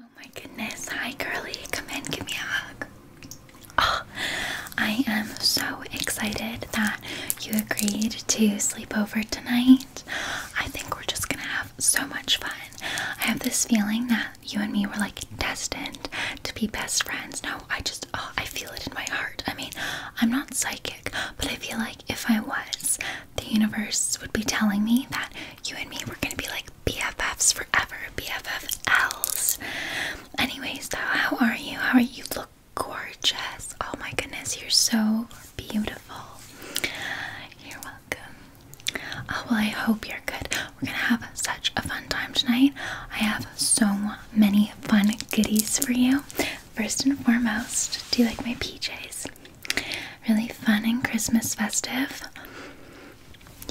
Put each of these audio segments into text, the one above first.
Oh my goodness. Hi, Curly. Come in. Give me a hug. Oh, I am so excited that you agreed to sleep over tonight. I think we're just going to have so much fun. I have this feeling that you and me were like destined to be best friends. No, I just, oh, I feel it in my heart. I mean, I'm not psychic, but I feel like if I was, the universe would be telling me that you and me were going to be like BFFs forever, BFFLs. Anyways, how are you? How are you? Look gorgeous. Oh my goodness, you're so beautiful. You're welcome. Oh, well, I hope you're good. We're gonna have such a fun time tonight. I have so many fun goodies for you. First and foremost, do you like my PJs? Really fun and Christmas festive.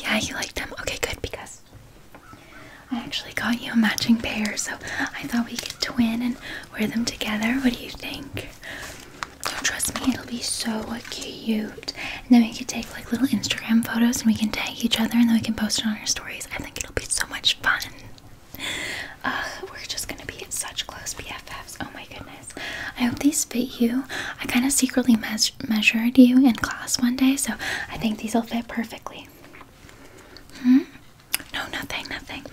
Yeah, you like them? Okay, good, because I actually got you a matching pair, so I thought we could twin and wear them together. What do you think? trust me, it'll be so cute. And then we could take like little Instagram photos and we can tag each other and then we can post it on our stories. I think it'll be so much fun. we're just gonna be such close BFFs. Oh my goodness. I hope these fit you. I kind of secretly measured you in class one day, so I think these will fit perfectly. Hmm? No, nothing, nothing.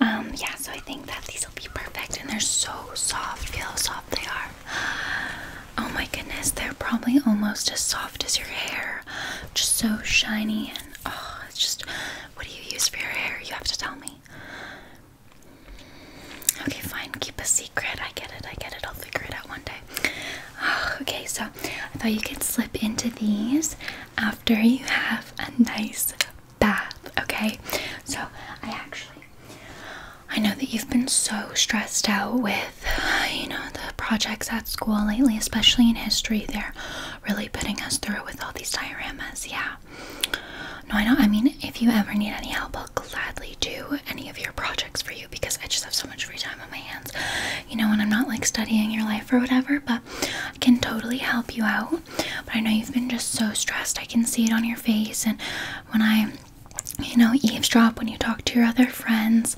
Um, yeah, so I think that these will be perfect, and they're so soft. Feel how soft they are. Oh my goodness, they're probably almost as soft as your hair. Just so shiny and oh, it's just what do you use for your hair? You have to tell me. Okay, fine. Keep a secret. I get it. I get it. I'll figure it out one day. Ah, okay, so I thought you could slip into these after you have a nice bath. Okay, so I actually, I know that you've been so stressed out with, you know, the projects at school lately, especially in history. They're really putting us through with all these dioramas. Yeah. No, I know. I mean, if you ever need any help, I'll gladly do any of your projects for you because I just have so much free time on my hands, you know, and I'm not like studying your life or whatever, but I can totally help you out. But I know you've been just so stressed. I can see it on your face. And when I, you know, eavesdrop when you talk to your other friends,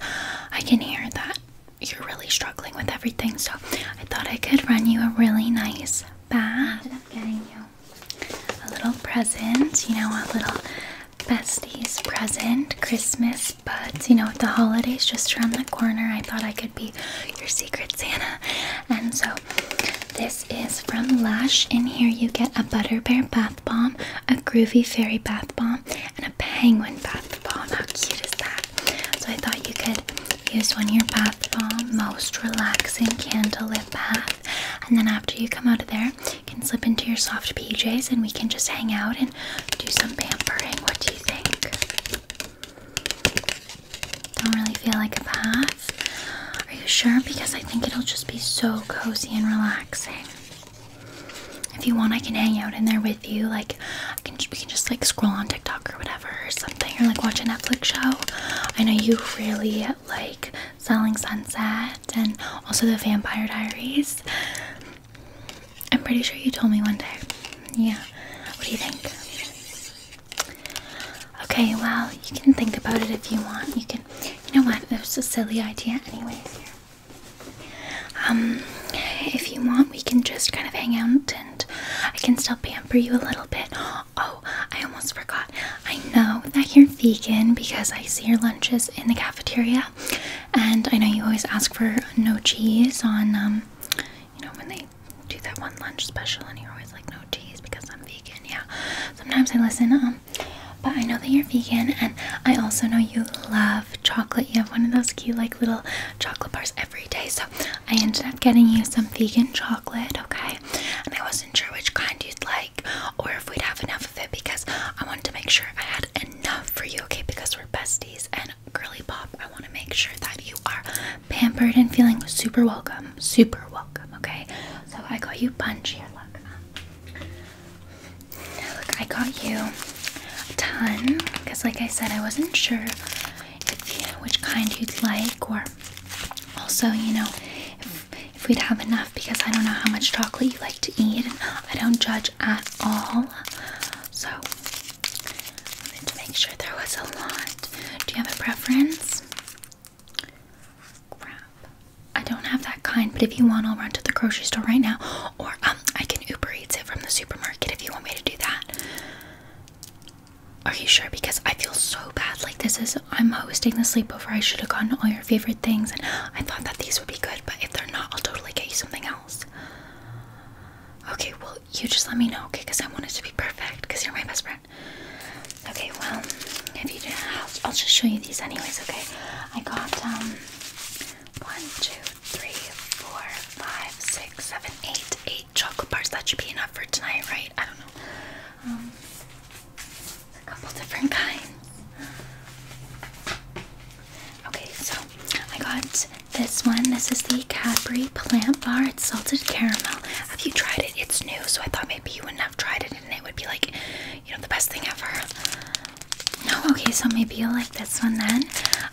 I can hear that you're really struggling with everything. So I thought I could run you a really nice bath a little present, you know, a little besties present, Christmas buds, you know, with the holidays just around the corner. I thought I could be your secret Santa. And so this is from Lush. In here you get a butterbear bath bomb, a groovy fairy bath bomb, and a penguin bath bomb. How cute is that? So I thought you could use one your bath bomb, most relaxing candlelit bath. And then after you come out of there, you can slip into your soft PJs and we can just hang out and do some pampering. What do you think? Don't really feel like a bath? Are you sure? Because I think it'll just be so cozy and relaxing. If you want, I can hang out in there with you. Like, I can, we can just like scroll on TikTok or whatever or something, or like watch a Netflix show. I know you really like Selling Sunset and also the Vampire Diaries. I'm pretty sure you told me one day. Yeah. What do you think? Okay, well, you can think about it if you want. You can you know what? It a silly idea anyways Um if you want we can just kind of hang out and I can still pamper you a little bit. Oh, I almost forgot. I know that you're vegan because I see your lunches in the cafeteria, and I know you always ask for no cheese on, um, you know, when they do that one lunch special, and you're always like, no cheese because I'm vegan. Yeah, sometimes I listen, um, but I know that you're vegan, and I also know you love chocolate. You have one of those cute, like, little chocolate bars every day, so I ended up getting you some vegan chocolate, okay? And I wasn't sure which kind you'd like or if we'd have enough of it because I wanted to make sure I had enough for you, okay? Because we're besties and girly pop. I want to make sure that you are pampered and feeling super welcome, super welcome, okay? So I got you bunch here, look. I got you a ton because, like I said, I wasn't sure which kind you'd like, or also, you know, if we'd have enough because I don't know how much chocolate you like to eat. I don't judge at all. So I wanted to make sure there was a lot. Do you have a preference? I don't have that kind, but if you want, I'll run to the grocery store right now. Or um, I can Uber Eats it from the supermarket if you want me to do that. Are you sure? Because I feel so bad. Like this is I'm hosting the sleepover. I should have gotten all your favorite things, and I thought that these would be good, but if they're not, I'll totally get you something else. Okay, well, you just let me know, okay? Because I want it to be perfect, because you're my best friend. Okay, well, if you do, not have, I'll just show you these anyways, okay? I got, um, one, two, three, four, five, six, seven, eight, eight chocolate bars. That should be enough for tonight, right? I don't know. Um, a couple different kinds. Okay, so I got this one. This is the Cadbury Plant Bar. It's salted caramel. Have you tried it? It's new, so I thought maybe you wouldn't have tried it and it would be like, you know, the best thing ever. No, okay, so maybe you'll like this one then.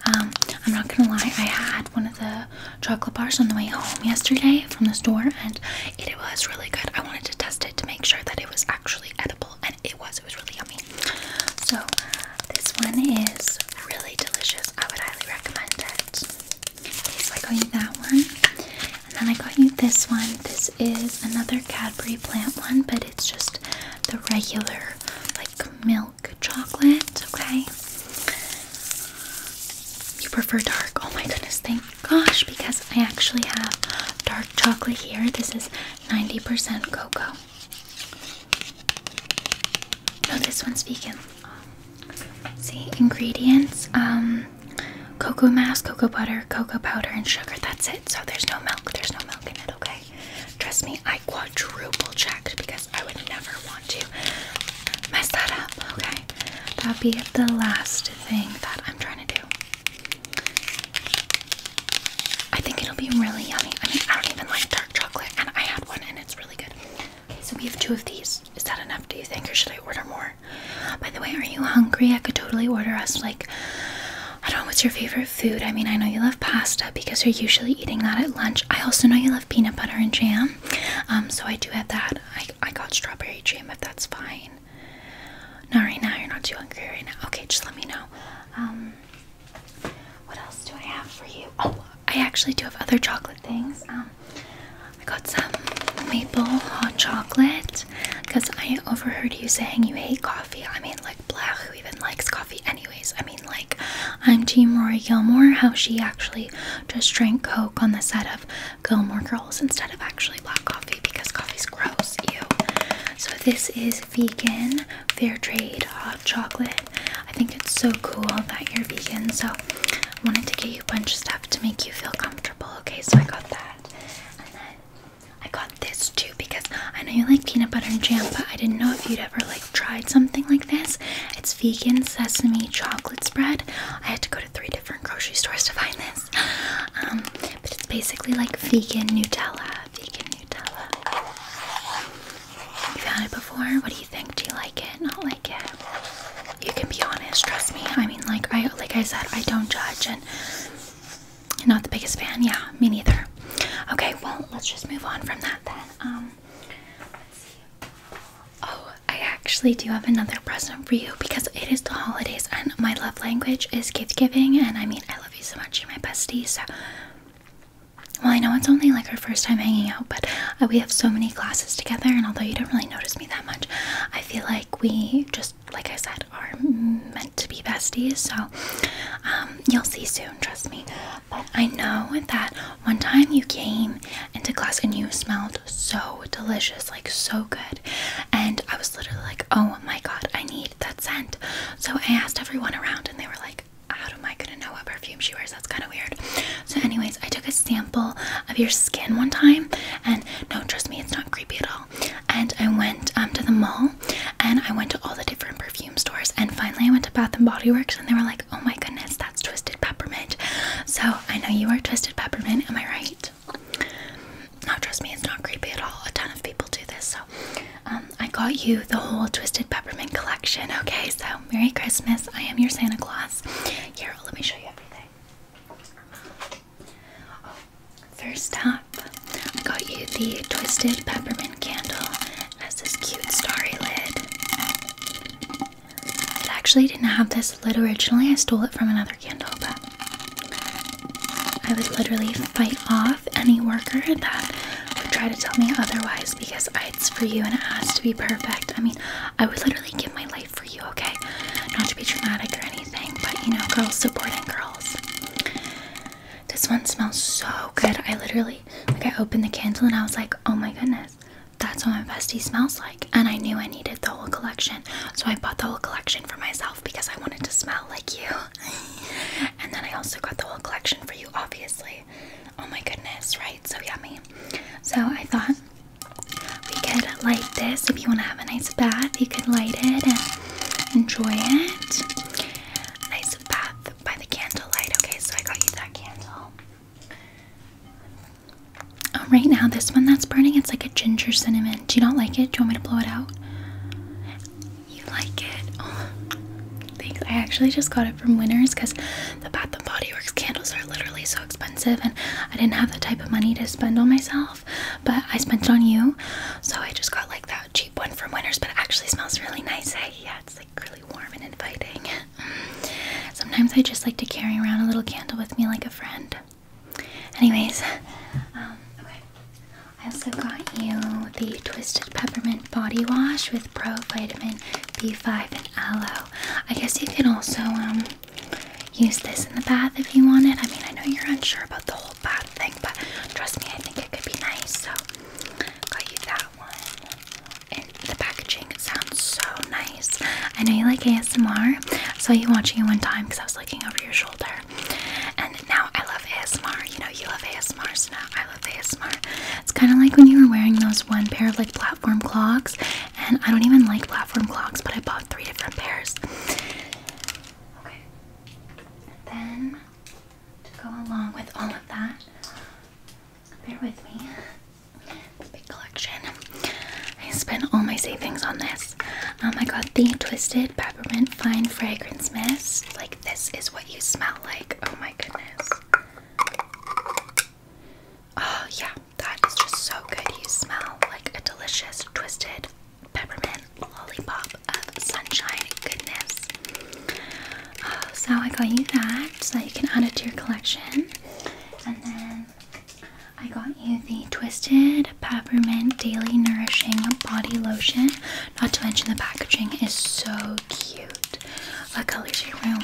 Um, I'm not gonna lie, I had one of the chocolate bars on the way home yesterday from the store and it was really good. I wanted to test it to make sure that it was actually edible and it was. It was really yummy. So this one is really delicious. I would highly recommend it. so I got you that one, and then I got you this one. This is another Cadbury plant one, but it's just the regular like milk chocolate. Okay. You prefer dark? Oh my goodness! Thank gosh, because I actually have dark chocolate here. This is 90% cocoa. No, this one's vegan. See, ingredients um, cocoa mass, cocoa butter, cocoa powder, and sugar. That's it. So there's no milk. There's no milk in it, okay? Trust me, I quadruple checked because I would never want to mess that up, okay? That'd be the last thing that I'm trying to do. I think it'll be really yummy. I mean, I don't even like dark chocolate, and I had one, and it's really good. So we have two of these. Is that enough? Do you think, or should I order more? By the way, are you hungry? I could totally order us like I don't know what's your favorite food. I mean, I know you love pasta because you're usually eating that at lunch. I also know you love peanut butter and jam, um, so I do have that. I I got strawberry jam if that's fine. Not right now. You're not too hungry right now. Okay, just let me know. Um, what else do I have for you? Oh, I actually do have other chocolate things. Um, I got some maple hot chocolate because I overheard you saying you hate coffee. I mean, like, Black, who even likes coffee, anyways? I mean, like, I'm Team Rory Gilmore, how she actually just drank Coke on the set of Gilmore Girls instead of actually black coffee because coffee's gross, ew. So, this is vegan fair trade hot chocolate. I think it's so cool that you're vegan, so I wanted to get you a bunch of stuff to make you feel comfortable. Okay, so I got that. And then I got this too because I know you like peanut butter and jam, but I didn't know if you'd ever like tried something like this. It's vegan sesame chocolate spread. I had to go to three different grocery stores to find this. Um, but it's basically like vegan Nutella puppy, can you have had it before? What do you think? Do you like it? Not like it? You can be honest, trust me. I mean like I like I said, I don't judge and not the biggest fan, yeah, me neither. Okay, well let's just move on from that then. Um Oh, I actually do have another present for you because it is the holidays and my love language is gift giving and I mean I love you so much. You're my bestie. So, well, I know it's only like our first time hanging out, but uh, we have so many classes together. And although you don't really notice me that much, I feel like we just, like I said, are meant to be besties. So, um, you'll see soon, trust me. I know that one time you came into class and you smelled so delicious, like so good. And I was literally like, oh my god, I need that scent. So I asked everyone around, and they were like, How am I gonna know what perfume she wears? That's kind of weird. So, anyways, I took a sample of your skin one time, and no, trust me, it's not creepy at all. And I went um, to the mall, and I went to all the different perfume stores, and finally I went to Bath and Body Works, and they were like, Oh my goodness, that's Twisted Peppermint. So I know you are Twisted Peppermint, am I right? No, trust me, it's not creepy at all. A ton of people do this. So, um, I got you the whole Twisted Peppermint collection. Okay, so Merry Christmas. I am your Santa Claus. Here, let me show you everything. Oh, first up, I got you the Twisted Peppermint candle. It has this cute starry lid. It actually didn't have this lid originally. I stole it from another candle, but I would literally fight off any worker that would try to tell me otherwise because it's for you and it has to be perfect. I mean, I would literally give my life for you, okay? Not to be dramatic or anything, but you know, girls supporting girls. This one smells so good. I literally, like, I opened the candle and I was like, oh my goodness, that's what my bestie smells like. And I knew I needed the whole collection, so I bought the whole collection for myself because I wanted to smell like you. And then I also got the whole collection for you, obviously. Oh my goodness, right? So yummy. So I thought we could light this. If you want to have a nice bath, you could light it and enjoy it. Nice bath by the candlelight. Okay, so I got you that candle. Oh, right now, this one that's burning, it's like a ginger cinnamon. Do you not like it? Do you want me to blow it out? You like it? Oh, I actually just got it from Winners because the Bath and Body Works candles are literally so expensive, and I didn't have the type of money to spend on myself, but I spent it on you, so I just got like that cheap one from Winners. But it actually smells really nice. Yeah, it's like really warm and inviting. Sometimes I just like to carry around a little candle with me, like a friend. Anyways, um, okay. I also got you the Twisted Peppermint Body Wash with Pro Vitamin B5 and Aloe. I guess you can also um, use this in the bath if you want it. I mean, I know you're unsure about the whole bath thing, but trust me, I think it could be nice. So, got you that one. the packaging sounds so nice. I know you like ASMR. I saw you watching it one time because I was looking over your shoulder. And now I love ASMR. You know, you love ASMR, now I love ASMR. It's kind of like when you were wearing those one pair of like platform clogs. And I don't even like platform clogs, but I bought three different pairs. Okay. then to go along with all of that, bear with me. big collection. I spent all my savings on this. Um, I got the Twisted Peppermint Fine Fragrance Mist. Like this is what you smell like. Oh my goodness. Oh yeah, that is just so good. You smell like a delicious twisted peppermint lollipop of sunshine goodness. Uh, so I got you that so that you can add it to your collection. And then I got you the Twisted Peppermint Daily Nourishing Body Lotion. Not to mention the packaging is so cute. What color is your room?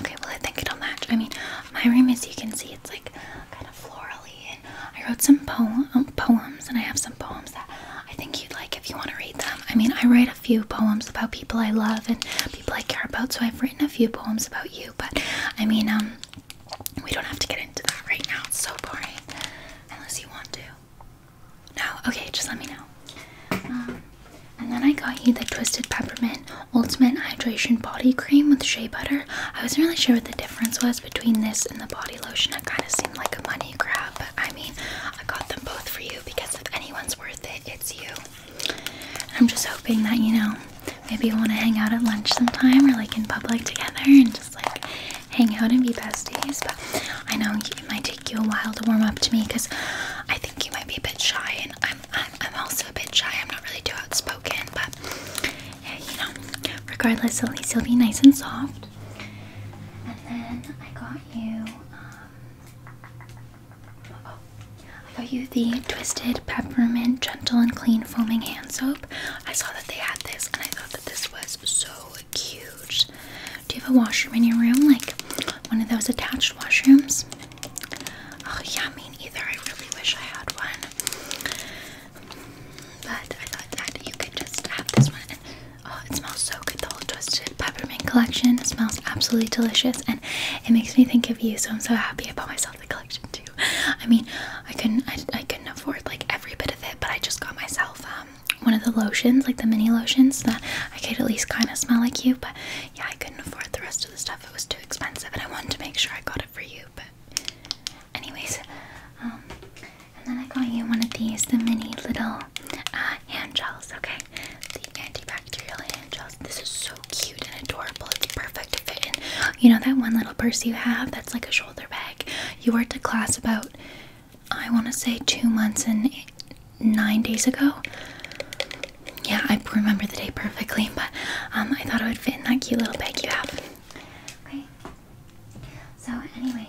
Okay, well I think it'll match. I mean, my room, is, you can see, it's like kind of florally. And I wrote some poem um, poems, and I have some poems that I think you'd like if you want to read them. I mean, I write a few poems about people I love and people I care about, so I've written a few poems about you. But I mean, um, we don't have to get into that right now. It's so boring, unless you want to. No? Okay, just let me know. Um, and then I got you the Twisted Peppermint Ultimate Hydration Body Cream with shea butter. I wasn't really sure what the difference was between this and the body lotion. It kind of seemed like a money grab, but I mean, I got them both for you because if anyone's worth it, it's you. I'm just hoping that, you know, maybe you want to hang out at lunch sometime or like in public together and just like hang out and be besties. But I know it might take you a while to warm up to me because I think you might be a bit shy, and I'm I'm, also a bit shy. I'm not really too outspoken, but you know, regardless, at least you'll be nice and soft. And then I got you. Um, oh, I got you the Twisted Peppermint Gentle and Clean Foaming Hand Soap. I saw that they had this, and I thought that this was so cute. Do you have a washroom in your room? Like one of those attached washrooms? Oh, yeah, I mean, either. I really wish I had one. But I thought that you could just have this one. oh, it smells so good. The whole Twisted Peppermint collection smells absolutely delicious and it makes me think of you. So I'm so happy I bought myself the collection too. I mean, I couldn't, I, I couldn't afford like every bit of it, but I just got myself um, one of the lotions, like the mini lotions, that I could at least kind of smell like you. But yeah, I couldn't afford the rest of the stuff; it was too expensive, and I wanted to make sure I got it for you. But anyways, um, and then I got you one of these, the mini little uh, hand gels. Okay, the antibacterial hand gels. This is so cute and adorable. It's perfect to fit in. You know that one little purse you have that's like a shoulder bag. You were to class about I want to say two months and nine days ago. Yeah, I remember the day perfectly, but um, I thought it would fit in that cute little bag you have. Okay. So, anyways,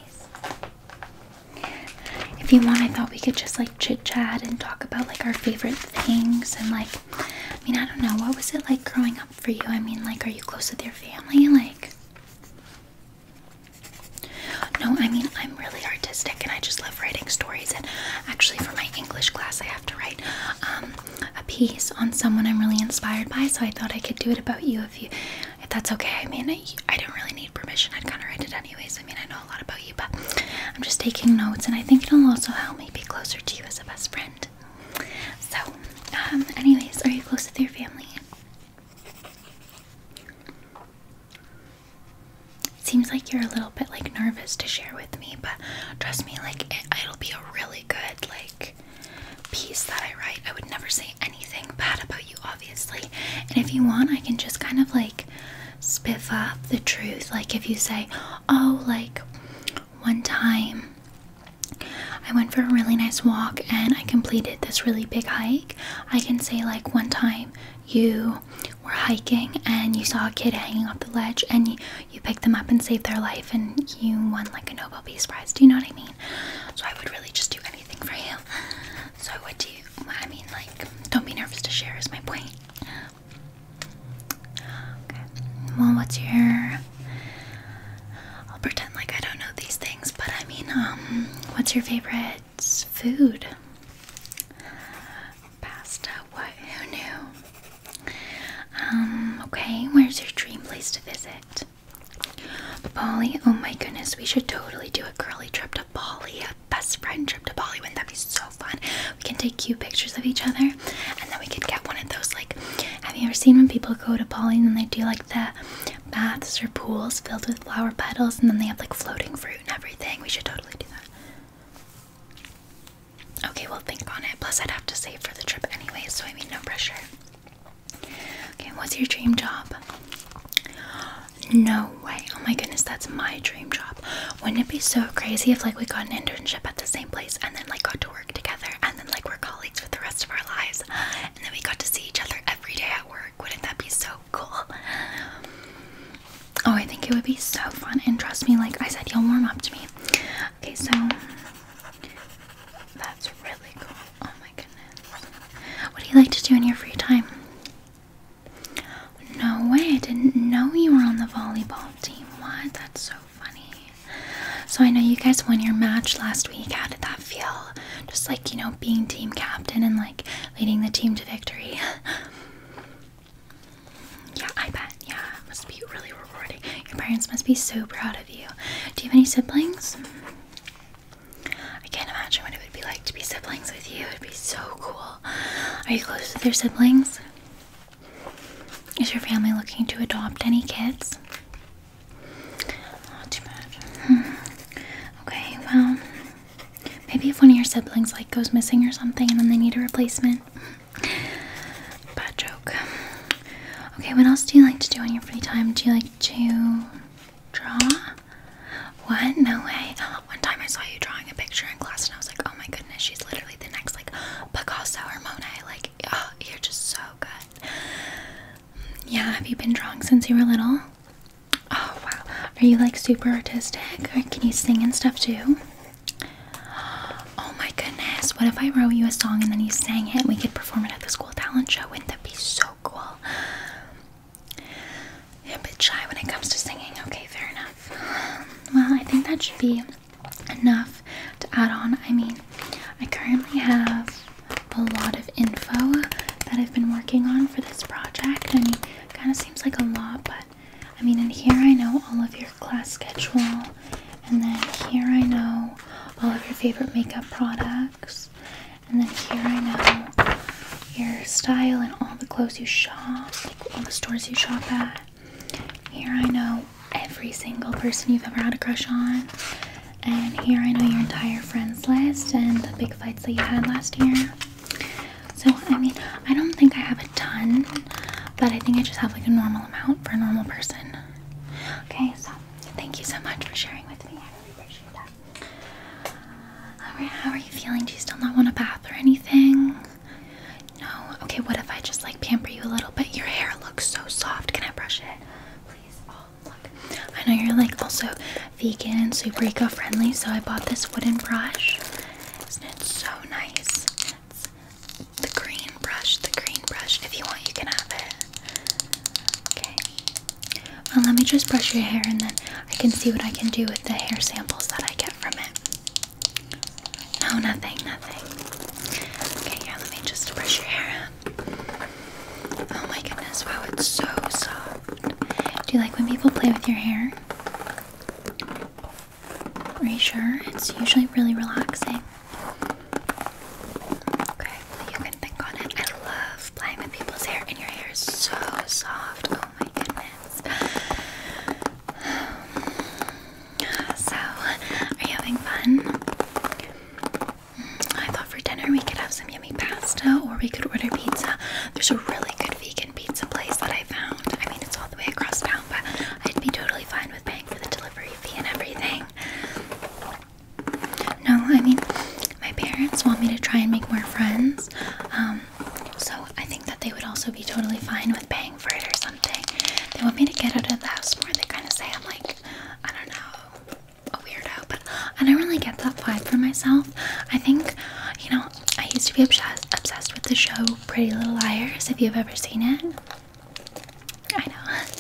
if you want, I thought we could just like chit chat and talk about like our favorite things and like, I mean, I don't know, what was it like growing up for you? I mean, like, are you close with your family? Like, no, I mean, I'm really artistic and I just love writing stories. And actually, for my English class, I have to write um, a piece on someone I'm really inspired by. So I thought I could do it about you if you, if that's okay. I mean, I, I don't really need permission. I'd kind of write it anyways. I mean, I know a lot about you, but I'm just taking notes and I think it'll also help me be closer to you as a best friend. So, um, anyways, are you close with your family? It Seems like you're a little bit like nervous to share with me, but trust me, like it, will be a really good like piece that I write. I would never say anything bad about you, obviously. And if you want, I can just kind of like spiff up the truth. Like if you say, "Oh, like one time I went for a really nice walk and I completed this really big hike. I can say, like, one time you were hiking and you saw a kid hanging off the ledge and you, picked them up and saved their life and you won, like, a Nobel Peace Prize. Do you know what I mean? So I would really just do anything for you. So, I would do you, I mean, like, don't be nervous to share, is my point. Well, what's your I'll pretend like I don't know these things, but I mean, um, what's your favorite food? Pasta. What? Who knew? Um, okay, where's your dream place to visit? Bali. Oh my goodness, we should totally do a girly trip to Bali, a best friend trip to Bali. Wouldn't that be so fun? We can take cute pictures of each other, and then we can get one of those like. Have you ever seen when people go to Bali and they do like the baths or pools filled with flower petals, and then they have like floating fruit and everything. We should totally do that. Okay, well, think on it. Plus, I'd have to save for the trip anyway, so I mean, no pressure. Okay, what's your dream job? No way. Oh my goodness, that's my dream job. Wouldn't it be so crazy if like we got an internship at the same place and then like got to work together and then like we're colleagues for the rest of our lives and then we got to see each other every day at work? Wouldn't that be so Oh, I think it would be so fun. And trust me, like I said, you'll warm up to me. Okay, so that's really cool. Oh my goodness. What do you like to do in your free time? No way, I didn't know you were on the volleyball team. What? That's so funny. So I know you guys won your match last week. How did that feel? Just like, you know, being team captain and like leading the team to victory. yeah, I bet. Yeah, must be really rewarding. Your parents must be so proud of you. Do you have any siblings? I can't imagine what it would be like to be siblings with you. It'd be so cool. Are you close with your siblings? Is your family looking to adopt any kids? Not too bad. Hmm. Okay, well, maybe if one of your siblings like goes missing or something, and then they need a replacement. Bad joke. Okay, what else do you like to do on your free time? Do you like to draw? What? No way. One time I saw you drawing a picture in class, and I was like, oh my goodness, she's literally the next like Picasso or Monet. Like, oh, you're just so good. Yeah, have you been drawing since you were little? Oh wow. Are you like super artistic? Or can you sing and stuff too? Oh my goodness. What if I wrote you a song and then you sang it and we could perform it at the school talent show? Wouldn't that be so cool? I'm a bit shy when it comes to singing. Okay, fair enough. Well, I think that should be enough to add on. I mean, I currently have a lot of info that I've been working on for this project. I mean, kind of seems like a lot, but I mean, in here I know all of your class schedule, and then here I know all of your favorite makeup products, and then here I know your style and all the clothes you shop, like all the stores you shop at. Here I know every single person you've ever had a crush on. And here I know your entire friends list and the big fights that you had last year. So, I mean, I don't think I have a ton, but I think I just have like a normal amount for a normal person. Okay, so thank you so much for sharing with me. I really appreciate that. how are you feeling? Do you still not want a bath or anything? No? Okay, what if I just like pamper you a little bit? Your hair looks so soft. Can I brush it? Please. Oh. I know you're like also vegan super eco friendly, so I bought this wooden brush. Isn't so nice? the green brush, the green brush. If you want, you can have it. Okay. let me just brush your hair and then I can see what I can do with the hair samples that I get from it. Oh, nothing, nothing. Okay, yeah, let me just brush your hair Oh my goodness, wow, it's so soft. Do you like when people play with your hair? Are you sure? It's usually really relaxing. Okay, you can think on it. I love playing with people's hair, and your hair is so soft. Oh my goodness. So, are you having fun? I thought for dinner we could have some some pasta or we could order pizza. There's a really good vegan pizza place that I found. I mean, it's all the way across town, but I'd be totally fine with paying for the delivery fee and everything. No, I mean, my parents want me to try and make more friends. Um, so I think that they would also be totally fine with paying for it or something. They want me to get out of the house more. They kind of say I'm like, I don't know, weirdo, but I don't really get that vibe for myself. I think, you know, I used to be obsessed obsessed with the show Pretty Little Liars. If you've ever seen it, I know,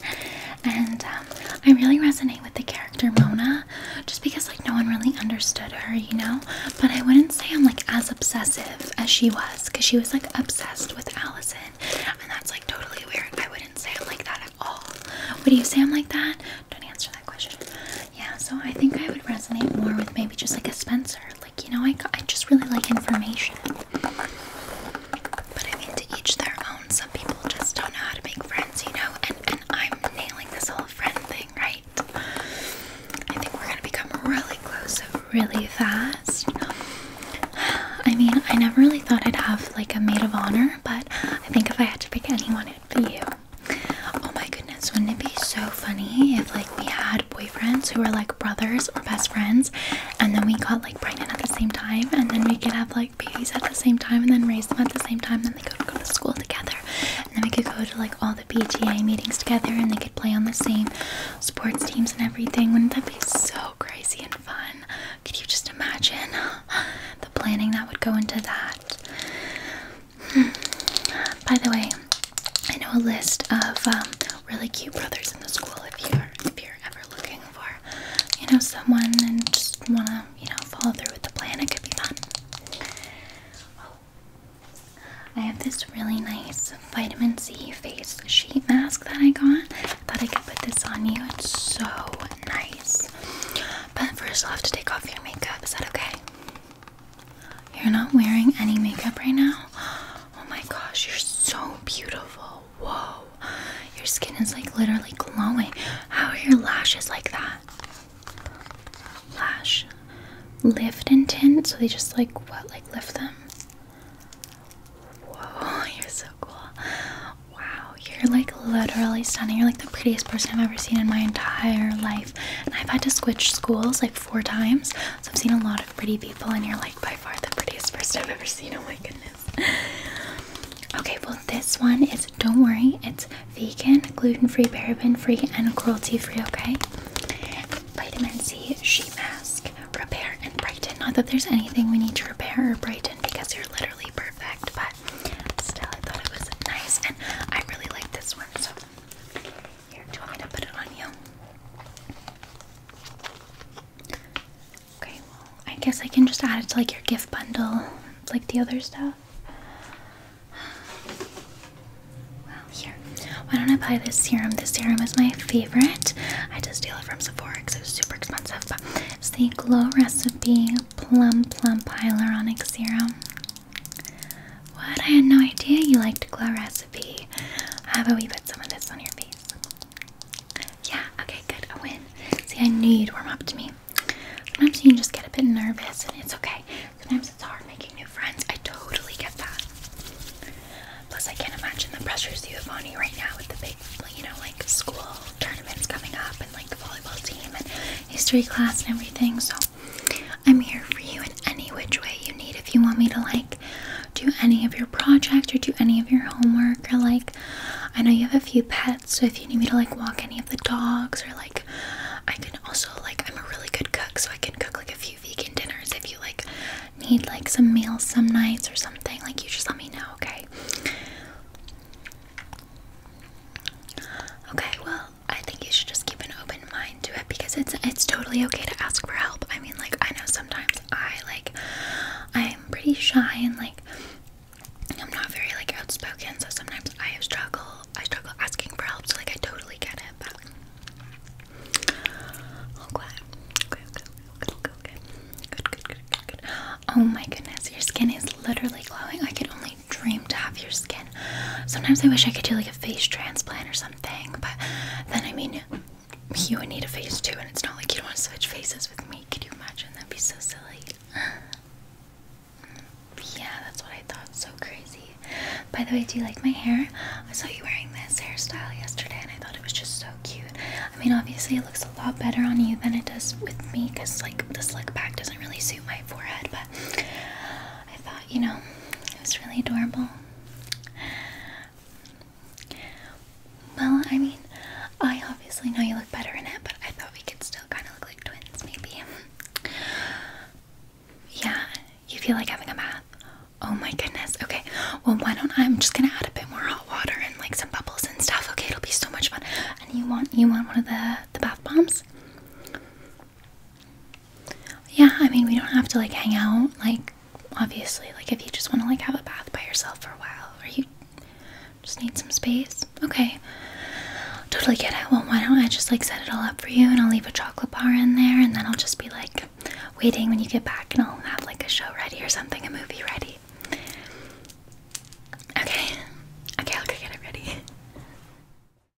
and um, I really resonate with the character Mona, just because like no one really understood her, you know. But I wouldn't say I'm like as obsessive as she was, because she was like obsessed with Allison, and that's like totally weird. I wouldn't say I'm like that at all. Would you say I'm like that? Don't answer that question. Yeah, so I think I would resonate more with maybe just like a Spencer. Like, you know, I, I just really like information. But I mean, to each their own. Some people just don't know how to make friends, you know? And, and I'm nailing this whole friend thing, right? I think we're gonna become really close really fast. I mean, I never really thought I'd have like a maid of honor, but I think if I had to pick anyone, it'd be you. Oh my goodness, wouldn't it be so funny if like we had boyfriends who were like brothers or best friends and then we got like pregnant at the same time and then we could have like babies at the same time and then raise them at the same time then they could go to school together and then we could go to like all the PTA meetings together and they could play on the same sports teams and everything. Wouldn't that be so crazy and fun? Could you just imagine the planning that would go into that? By the way, I know a list of um, really cute brothers in the school. If you're if you're ever looking for, you know, someone and just wanna, you know, follow through with the plan, it could be fun. Oh. I have this really nice vitamin C face sheet mask that I got. thought I could put this on you. It's so nice. But first, I'll have to take off your makeup. Is that okay? You're not wearing any makeup right now? Oh my gosh, you're so beautiful. Whoa. Your skin is like literally glowing. How are your lashes like that? Lash. Lift and tint, so they just like what? Like lift them? Whoa, you're so cool. Wow, you're like literally stunning. You're like the prettiest person I've ever seen in my entire life. And I've had to switch schools like four times, so I've seen a lot of pretty people, and you're like by far the prettiest person I've ever seen. Oh my goodness. Okay, well, this one is don't worry, it's vegan, gluten free, paraben free, and cruelty free, okay? Vitamin C sheet mask, repair and brighten. Not that there's anything we need to repair or brighten because you're literally perfect, but still, I thought it was nice, and I really like this one, so do you want me to put it on you? Okay, well, I guess I can just add it to like your gift bundle, like the other stuff. Well, here. Why don't I buy this serum? This serum is my favorite. I just steal it from Sephora because it was super expensive. But it's the Glow Recipe Plum Plum Hyaluronic Serum. What? I had no idea you liked glow recipe. How about we put some of this on your face? Yeah, okay, good. A win. See, I knew you'd warm up to me. Sometimes you just get a bit nervous and it's okay. Sometimes it's hard making new friends. I totally get that. Plus, I can't imagine the pressures you have on you right now with the big, you know, like school tournaments coming up and like volleyball team and history class and everything. So, I'm here for you in any which way you need. If you want me to like do any of your project or do any of your homework or like I know you have a few pets, so if you need me to like walk any of the dogs or like I can also like I'm a really good cook, so I can cook like a few vegan dinners if you like need like some meals some nights or something, like you just let me know, okay? Okay, well, I think you should just keep an open mind to it because it's it's totally okay to ask for help. I mean, like I know sometimes I like I'm pretty shy and like I'm not very like outspoken, so sometimes I struggle. I struggle asking for help. So like I totally get it, but Oh my goodness, your skin is literally glowing. I could only my dream to have your skin. Sometimes I wish I could do like a face transplant or something, but then I mean, you would need a face too, and it's not like you don't want to switch faces with me. Could you imagine? That'd be so silly. Yeah, that's what I thought. So crazy. By the way, do you like my hair? I saw you wearing this hairstyle yesterday and I thought it was just so cute. I mean, obviously, it looks a lot better on you than it does with me because, like, the slick back doesn't really suit my forehead, but I thought, you know, it was really adorable. Well, I mean, I obviously know you look better in it, but I thought we could still kind of look like twins, maybe. Yeah, you feel like having a bath? Oh my goodness. Okay, well, why don't I? I'm just gonna add a bit more hot water and like some bubbles and stuff. Okay, it'll be so much fun. And you want you want one of the the bath bombs? yeah, I mean, we don't have to like hang out, like, obviously, like, if you just want to like have a bath by yourself for a while, or you just need some space, okay, totally get it. Well, why don't I just like set it all up for you and I'll leave a chocolate bar in there, and then I'll just be like waiting when you get back, and I'll have like a show ready or something, a movie ready. Okay, okay, I'll go get it ready.